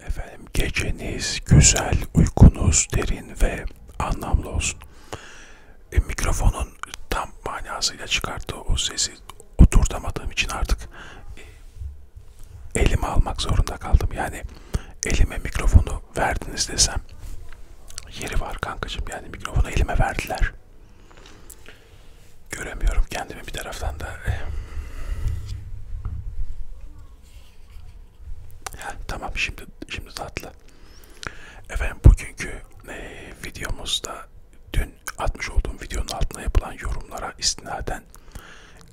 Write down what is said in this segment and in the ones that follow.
Efendim geceniz güzel, uykunuz derin ve anlamlı olsun. E, mikrofonun tam manasıyla çıkarttığı o sesi oturtamadığım için artık e, elime almak zorunda kaldım. Yani elime mikrofonu verdiniz desem yeri var kankacığım. Yani mikrofonu elime verdiler göremiyorum kendimi bir taraftan da. Ha, tamam şimdi şimdi tatlı. Efendim bugünkü e, videomuzda dün atmış olduğum videonun altına yapılan yorumlara istinaden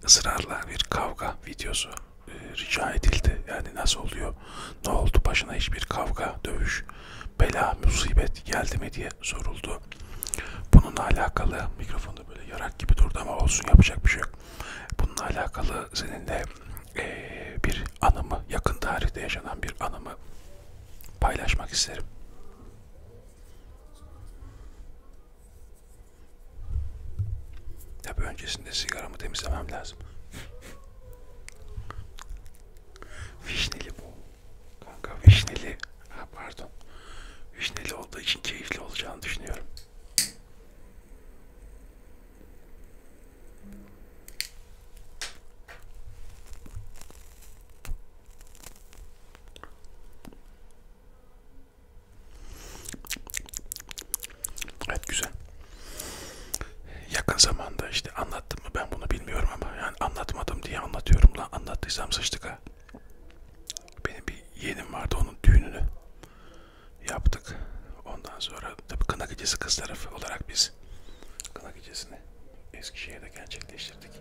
ısrarla bir kavga videosu e, rica edildi. Yani nasıl oluyor? Ne oldu? Başına hiçbir kavga, dövüş bela, musibet geldi mi diye soruldu. Bununla alakalı mikrofonda böyle yarak gibi durdu ama olsun yapacak bir şey yok. Bununla alakalı seninle e, bir anımı, yakın tarihte yaşanan bir anımı paylaşmak isterim. Tabi öncesinde sigaramı temizlemem lazım. Vişneli bu. Kanka vişneli. Ha, pardon. Vişneli olduğu için keyifli olacağını düşünüyorum. Evet güzel. Yakın zamanda işte anlattım mı ben bunu bilmiyorum ama yani anlatmadım diye anlatıyorum lan anlattıysam sıçtık ha. Benim bir yeğenim vardı onun düğününü yaptık. Ondan sonra tabii kına gecesi kız tarafı olarak biz kına gecesini Eskişehir'de gerçekleştirdik.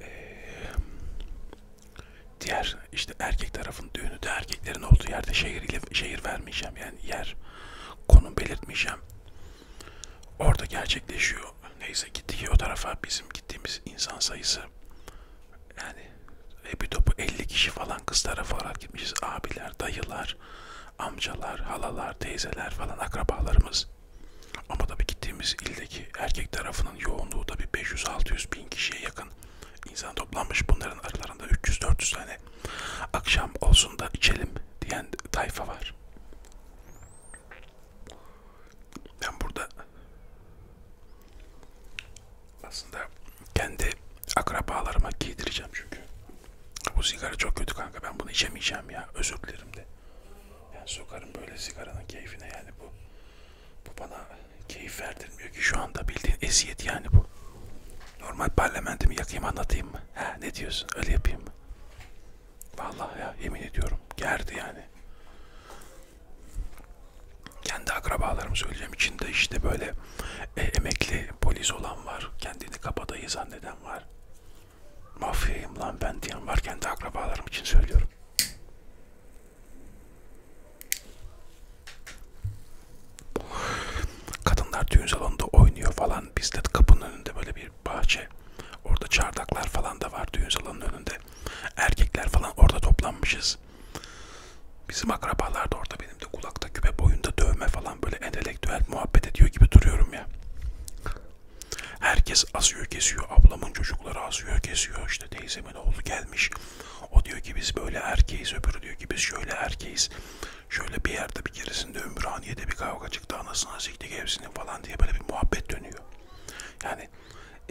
Ee, diğer işte erkek tarafın düğünü de erkeklerin olduğu yerde şehir ile şehir vermeyeceğim yani yer konu belirtmeyeceğim. Orada gerçekleşiyor. Neyse gittik o tarafa bizim gittiğimiz insan sayısı yani e bir topu 50 kişi falan kız tarafı olarak gitmişiz. Abiler, dayılar, amcalar, halalar, teyzeler falan akrabalarımız. Ama tabii gittiğimiz ildeki erkek tarafının yoğunluğu da bir 500-600 bin kişiye yakın insan toplanmış. Bunların aralarında 300-400 tane Akşam olsun da içelim diyen tayfa var. Ben burada aslında kendi akrabalarıma giydireceğim çünkü. Bu sigara çok kötü kanka ben bunu içemeyeceğim ya özür dilerim de. Yani sokarım böyle sigaranın keyfine yani bu. Bu bana keyif verdirmiyor ki şu anda bildiğin eziyet yani bu. Normal parlamentimi yakayım anlatayım mı? He, ne diyorsun? Öyle yapayım mı? Vallahi ya yemin ediyorum. Gerdi yani. Kendi akrabalarımı söyleyeceğim. İçinde işte böyle e, emekli polis olan var. Kendini kabadayı zanneden var. Mafyayım lan ben diyen var. Kendi akrabalarım için söylüyorum. Kadınlar düğün salonunda oynuyor falan. Bizde kapının önünde böyle bir bahçe. Orada çardaklar falan da var düğün salonunun önünde. Erkekler falan orada toplanmışız. Bizim akrabalar da orada benim de kulakta küpe boyunda dövme falan böyle entelektüel muhabbet ediyor gibi duruyorum ya. Herkes asıyor kesiyor. Ablamın çocukları asıyor kesiyor. İşte teyzemin oğlu gelmiş. O diyor ki biz böyle erkeğiz, öbürü diyor ki biz şöyle erkeğiz. Şöyle bir yerde bir keresinde Ümraniye'de bir kavga çıktı anasına siktik hepsini falan diye böyle bir muhabbet dönüyor. Yani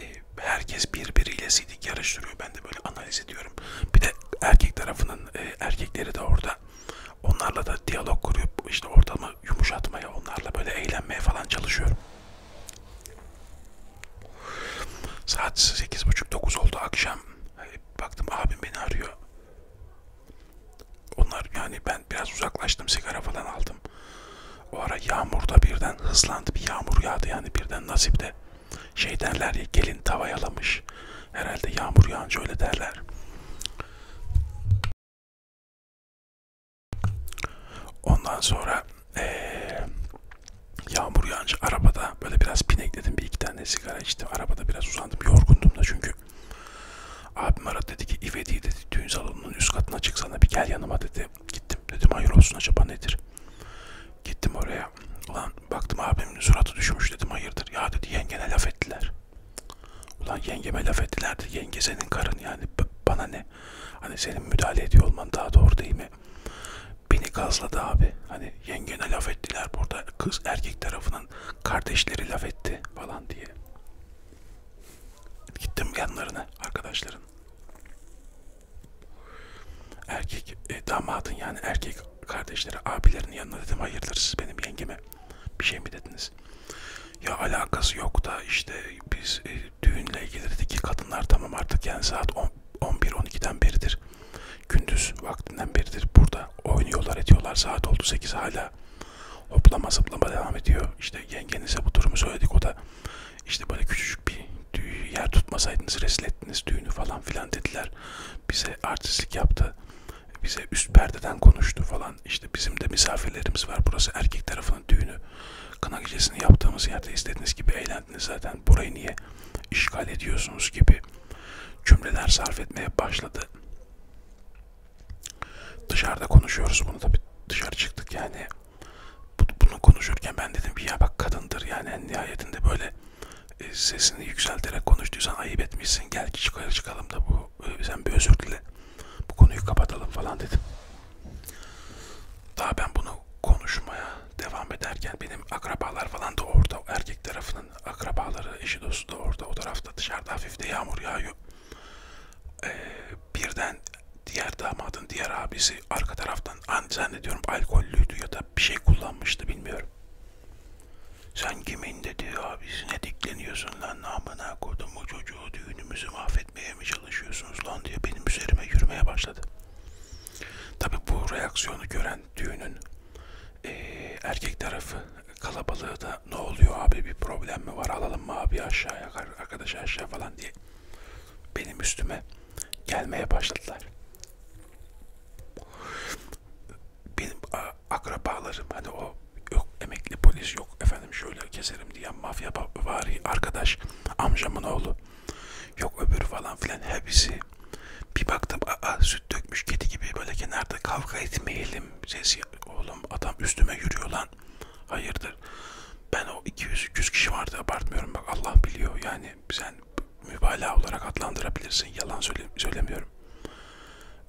e, herkes birbiriyle sidik yarıştırıyor. Ben de böyle analiz ediyorum. Bir de erkek tarafının e, erkekleri de orada. Onlarla da diyalog kurup işte ortamı yumuşatmaya, onlarla böyle eğlenmeye falan çalışıyorum. Saat 8.30-9 oldu akşam. Baktım abim beni arıyor. Onlar yani ben biraz uzaklaştım sigara falan aldım. O ara yağmurda birden hızlandı bir yağmur yağdı yani birden nasipte. Şey derler ya gelin tava yalamış. Herhalde yağmur yağınca öyle derler. Ondan sonra ee, yağmur yağınca arabada böyle biraz pinekledim. Bir iki tane sigara içtim. Arabada biraz uzandım. Yorgundum da çünkü. Abim aradı dedi ki İvedi dedi düğün salonunun üst katına çıksana bir gel yanıma dedi. Gittim dedim hayır olsun acaba nedir? Gittim oraya. Ulan baktım abimin suratı düşmüş dedim hayırdır. Ya dedi yengene laf ettiler. Ulan yengeme laf ettiler de yenge senin karın yani bana ne? Hani senin müdahale ediyor olman daha doğru değil mi? beni gazladı abi. Hani yengene laf ettiler burada. Kız erkek tarafının kardeşleri laf etti falan diye. Gittim yanlarına arkadaşların. Erkek e, damadın yani erkek kardeşleri abilerinin yanına dedim hayırdır siz benim yengeme bir şey mi dediniz? Ya alakası yok da işte biz e, düğünle ilgilidir ki kadınlar tamam artık yani saat 11-12'den beridir. Gündüz vaktinden beridir burada oynuyorlar ediyorlar. Saat oldu 8 hala hoplama zıplama devam ediyor. İşte yengenize bu durumu söyledik o da işte böyle küçücük bir yer tutmasaydınız rezil ettiniz düğünü falan filan dediler. Bize artistlik yaptı. Bize üst perdeden konuştu falan. İşte bizim de misafirlerimiz var. Burası erkek tarafının düğünü. Kına gecesini yaptığımız yerde istediğiniz gibi eğlen geldiniz zaten burayı niye işgal ediyorsunuz gibi cümleler sarf etmeye başladı. Dışarıda konuşuyoruz bunu tabi dışarı çıktık yani. Bunu konuşurken ben dedim ki ya bak kadındır yani en nihayetinde böyle e, sesini yükselterek konuştuysan ayıp etmişsin gel çıkarı çıkalım da bu e, sen bir özür dile bu konuyu kapatalım falan dedim. Daha ben bunu konuşmaya devam ederken benim akrabalar falan da orada erkek tarafının akrabaları eşi dostu da orada o tarafta dışarıda hafif de yağmur yağıyor ee, birden diğer damadın diğer abisi arka taraftan an zannediyorum alkollüydü ya da bir şey kullanmıştı bilmiyorum sen kimin dedi abisine dikleniyorsun lan namına kodum o çocuğu düğünümüzü mahvetmeye kaçmaya mı çalışıyorsunuz lan diye benim üzerime yürümeye başladı. Tabi bu reaksiyonu gören düğünün e, erkek tarafı kalabalığı da ne oluyor abi bir problem mi var alalım mı abi aşağıya arkadaşı aşağı falan diye benim üstüme gelmeye başladılar. Benim akrabalarım hani o yok emekli polis yok yok efendim şöyle keserim diyen mafya vari arkadaş amcamın oğlu yok öbürü falan filan hepsi bir baktım aa süt dökmüş kedi gibi böyle kenarda kavga etmeyelim sesi oğlum adam üstüme yürüyor lan hayırdır ben o 200-300 kişi vardı abartmıyorum bak Allah biliyor yani sen mübalağa olarak adlandırabilirsin yalan söyle söylemiyorum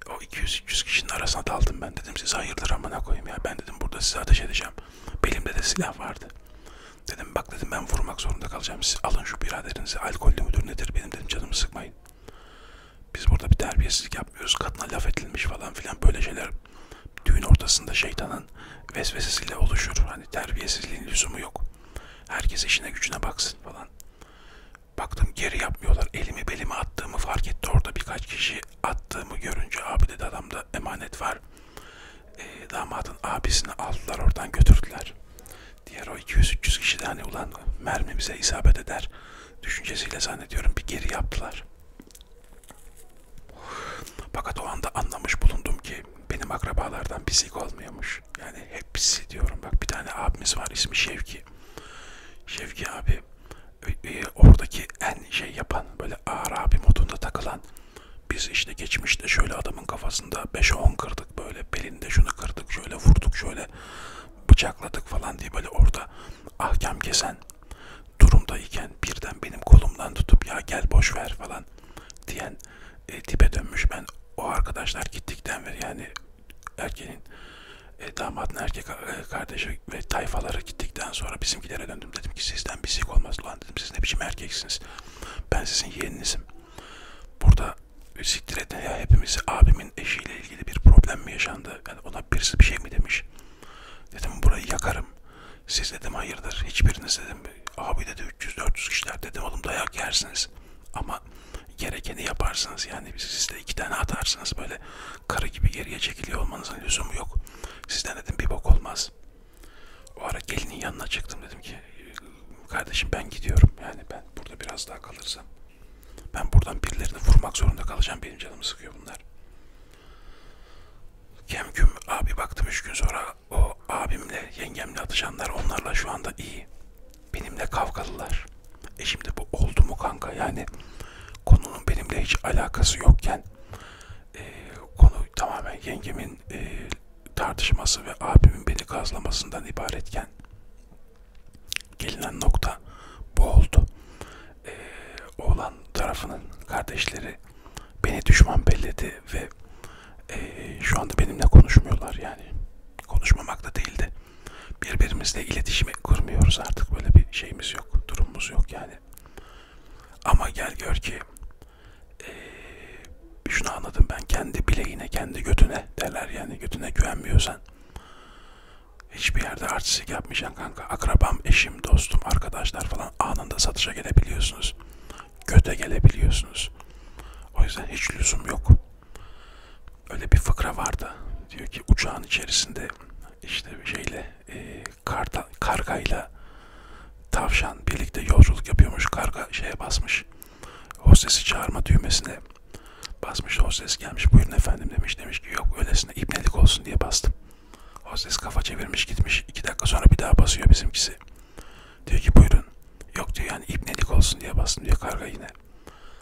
o 200-300 kişinin arasına daldım ben dedim siz hayırdır amına koyayım ya ben dedim burada sizi ateş edeceğim Belimde de silah vardı. Dedim bak dedim ben vurmak zorunda kalacağım. Siz alın şu biraderinizi. Alkollü müdür nedir benim dedim canımı sıkmayın. Biz burada bir terbiyesizlik yapmıyoruz. Kadına laf edilmiş falan filan böyle şeyler. Düğün ortasında şeytanın vesvesesiyle oluşur. Hani terbiyesizliğin lüzumu yok. Herkes işine gücüne baksın falan. Baktım geri yapmıyorlar. Elimi belime attığımı fark etti orada birkaç kişi attığımı görünce abi dedi adamda emanet var. E, damadın abisini aldılar oradan götürdüler. Diğer o 200-300 kişi de hani ulan mermi bize isabet eder düşüncesiyle zannediyorum bir geri yaptılar. Fakat o anda anlamış bulundum ki benim akrabalardan pislik olmuyormuş. Yani hepsi diyorum bak bir tane abimiz var ismi Şevki. Şevki abi e, oradaki en şey yapan böyle Arabi modunda takılan biz işte geçmişte şöyle adamın kafasında 5-10 kırdık böyle belinde şunu kırdık şöyle vurduk şöyle bıçakladık falan diye böyle orada ahkam kesen durumdayken birden benim kolumdan tutup ya gel boş ver falan diyen e, tipe dönmüş ben o arkadaşlar gittikten beri yani erkeğin e, damadın erkek e, kardeşi ve tayfalara gittikten sonra bizimkilere döndüm. Dedim ki sizden bir şey olmaz lan dedim. Siz ne biçim erkeksiniz. Ben sizin yeğeninizim. Burada siktir edin ya hepimizi abimin eşiyle ilgili bir problem mi yaşandı? Yani ona birisi bir şey mi demiş? Dedim burayı yakarım. Siz dedim hayırdır hiçbiriniz dedim abi dedi 300-400 kişiler dedim oğlum dayak yersiniz. Ama gerekeni yaparsınız yani siz de iki tane atarsınız böyle karı gibi geriye çekiliyor olmanızın lüzumu yok. Sizden dedim bir bok olmaz. O ara gelinin yanına çıktım dedim ki kardeşim ben gidiyorum. Yani ben burada biraz daha kalırsam ben buradan birilerini vurmak zorunda kalacağım. Benim canımı sıkıyor bunlar. Kemküm abi baktım üç gün sonra o abimle yengemle atışanlar onlarla şu anda iyi benimle kavgalılar. E şimdi bu oldu mu kanka? Yani konunun benimle hiç alakası yokken e, konu tamamen yengemin e, tartışması ve abimin beni gazlamasından ibaretken gelinen nokta bu oldu. E, oğlan tarafının kardeşleri beni düşman belledi ve e, şu anda benimle konuşmuyorlar yani. Konuşmamak da değildi birbirimizle iletişim kurmuyoruz artık böyle bir şeyimiz yok durumumuz yok yani ama gel gör ki ee, şunu anladım ben kendi bileğine kendi götüne derler yani götüne güvenmiyorsan hiçbir yerde artistlik yapmayacaksın kanka akrabam eşim dostum arkadaşlar falan anında satışa gelebiliyorsunuz göte gelebiliyorsunuz o yüzden hiç lüzum yok öyle bir fıkra vardı. Diyor ki uçağın içerisinde işte şeyle e, karta, kargayla tavşan birlikte yolculuk yapıyormuş. Karga şeye basmış. Hostesi çağırma düğmesine basmış. Hostes gelmiş buyurun efendim demiş. Demiş ki yok öylesine ibnelik olsun diye bastım. Hostes kafa çevirmiş gitmiş. iki dakika sonra bir daha basıyor bizimkisi. Diyor ki buyurun. Yok diyor yani ibnelik olsun diye bastım diyor karga yine.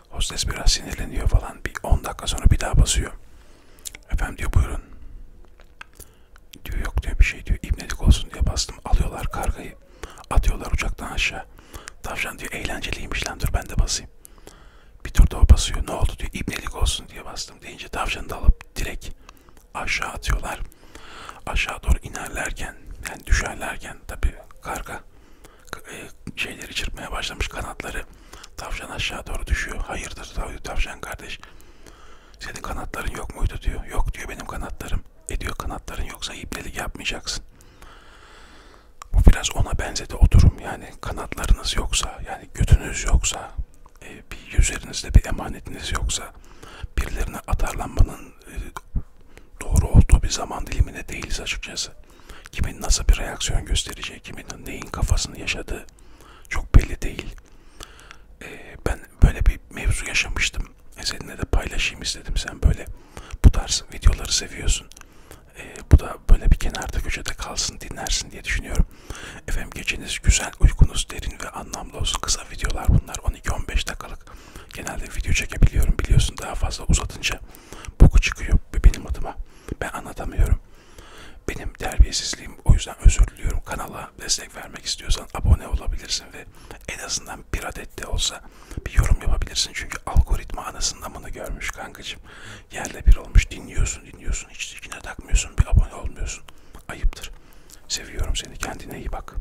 Hostes biraz sinirleniyor falan. Bir 10 dakika sonra bir daha basıyor. Efendim diyor buyurun. Diyor yok diyor bir şey diyor. İbnedik olsun diye bastım. Alıyorlar kargayı. Atıyorlar uçaktan aşağı. Tavşan diyor eğlenceliymiş lan dur ben de basayım. Bir turda o basıyor. Ne oldu diyor. İbnelik olsun diye bastım deyince tavşanı da alıp direkt aşağı atıyorlar. Aşağı doğru inerlerken yani düşerlerken tabi karga e, şeyleri çırpmaya başlamış kanatları. Tavşan aşağı doğru düşüyor. Hayırdır tavşan kardeş. Senin kanatların yok muydu diyor. Yok diyor benim kanatlarım. E diyor kanatların yoksa iplelik yapmayacaksın. Bu biraz ona benzedi o durum. Yani kanatlarınız yoksa, yani götünüz yoksa, e, bir üzerinizde bir emanetiniz yoksa, birilerine atarlanmanın ee, doğru olduğu bir zaman dilimine değiliz açıkçası. Kimin nasıl bir reaksiyon göstereceği, kimin neyin kafasını yaşadığı çok belli değil. Ee, ben böyle bir mevzu yaşamıştım. E seninle de paylaşayım istedim. Sen böyle bu tarz videoları seviyorsun. Ee, bu da böyle bir kenarda köşede kalsın, dinlersin diye düşünüyorum. Efendim geceniz güzel, uykunuz derin ve anlamlı olsun. Kısa videolar bunlar. 12-15 dakikalık Genelde video çekebiliyorum biliyorsun daha fazla uzatınca boku çıkıyor benim adıma. Ben anlatamıyorum. Benim terbiyesizliğim o yüzden özür diliyorum. Kanala destek vermek istiyorsan abone olabilirsin ve en azından bir adet de olsa bir yorum yapabilirsin. Çünkü algoritma anasının amını görmüş kankacım. Yerle bir olmuş dinliyorsun dinliyorsun hiç içine takmıyorsun bir abone olmuyorsun. Ayıptır. Seviyorum seni kendine iyi bak.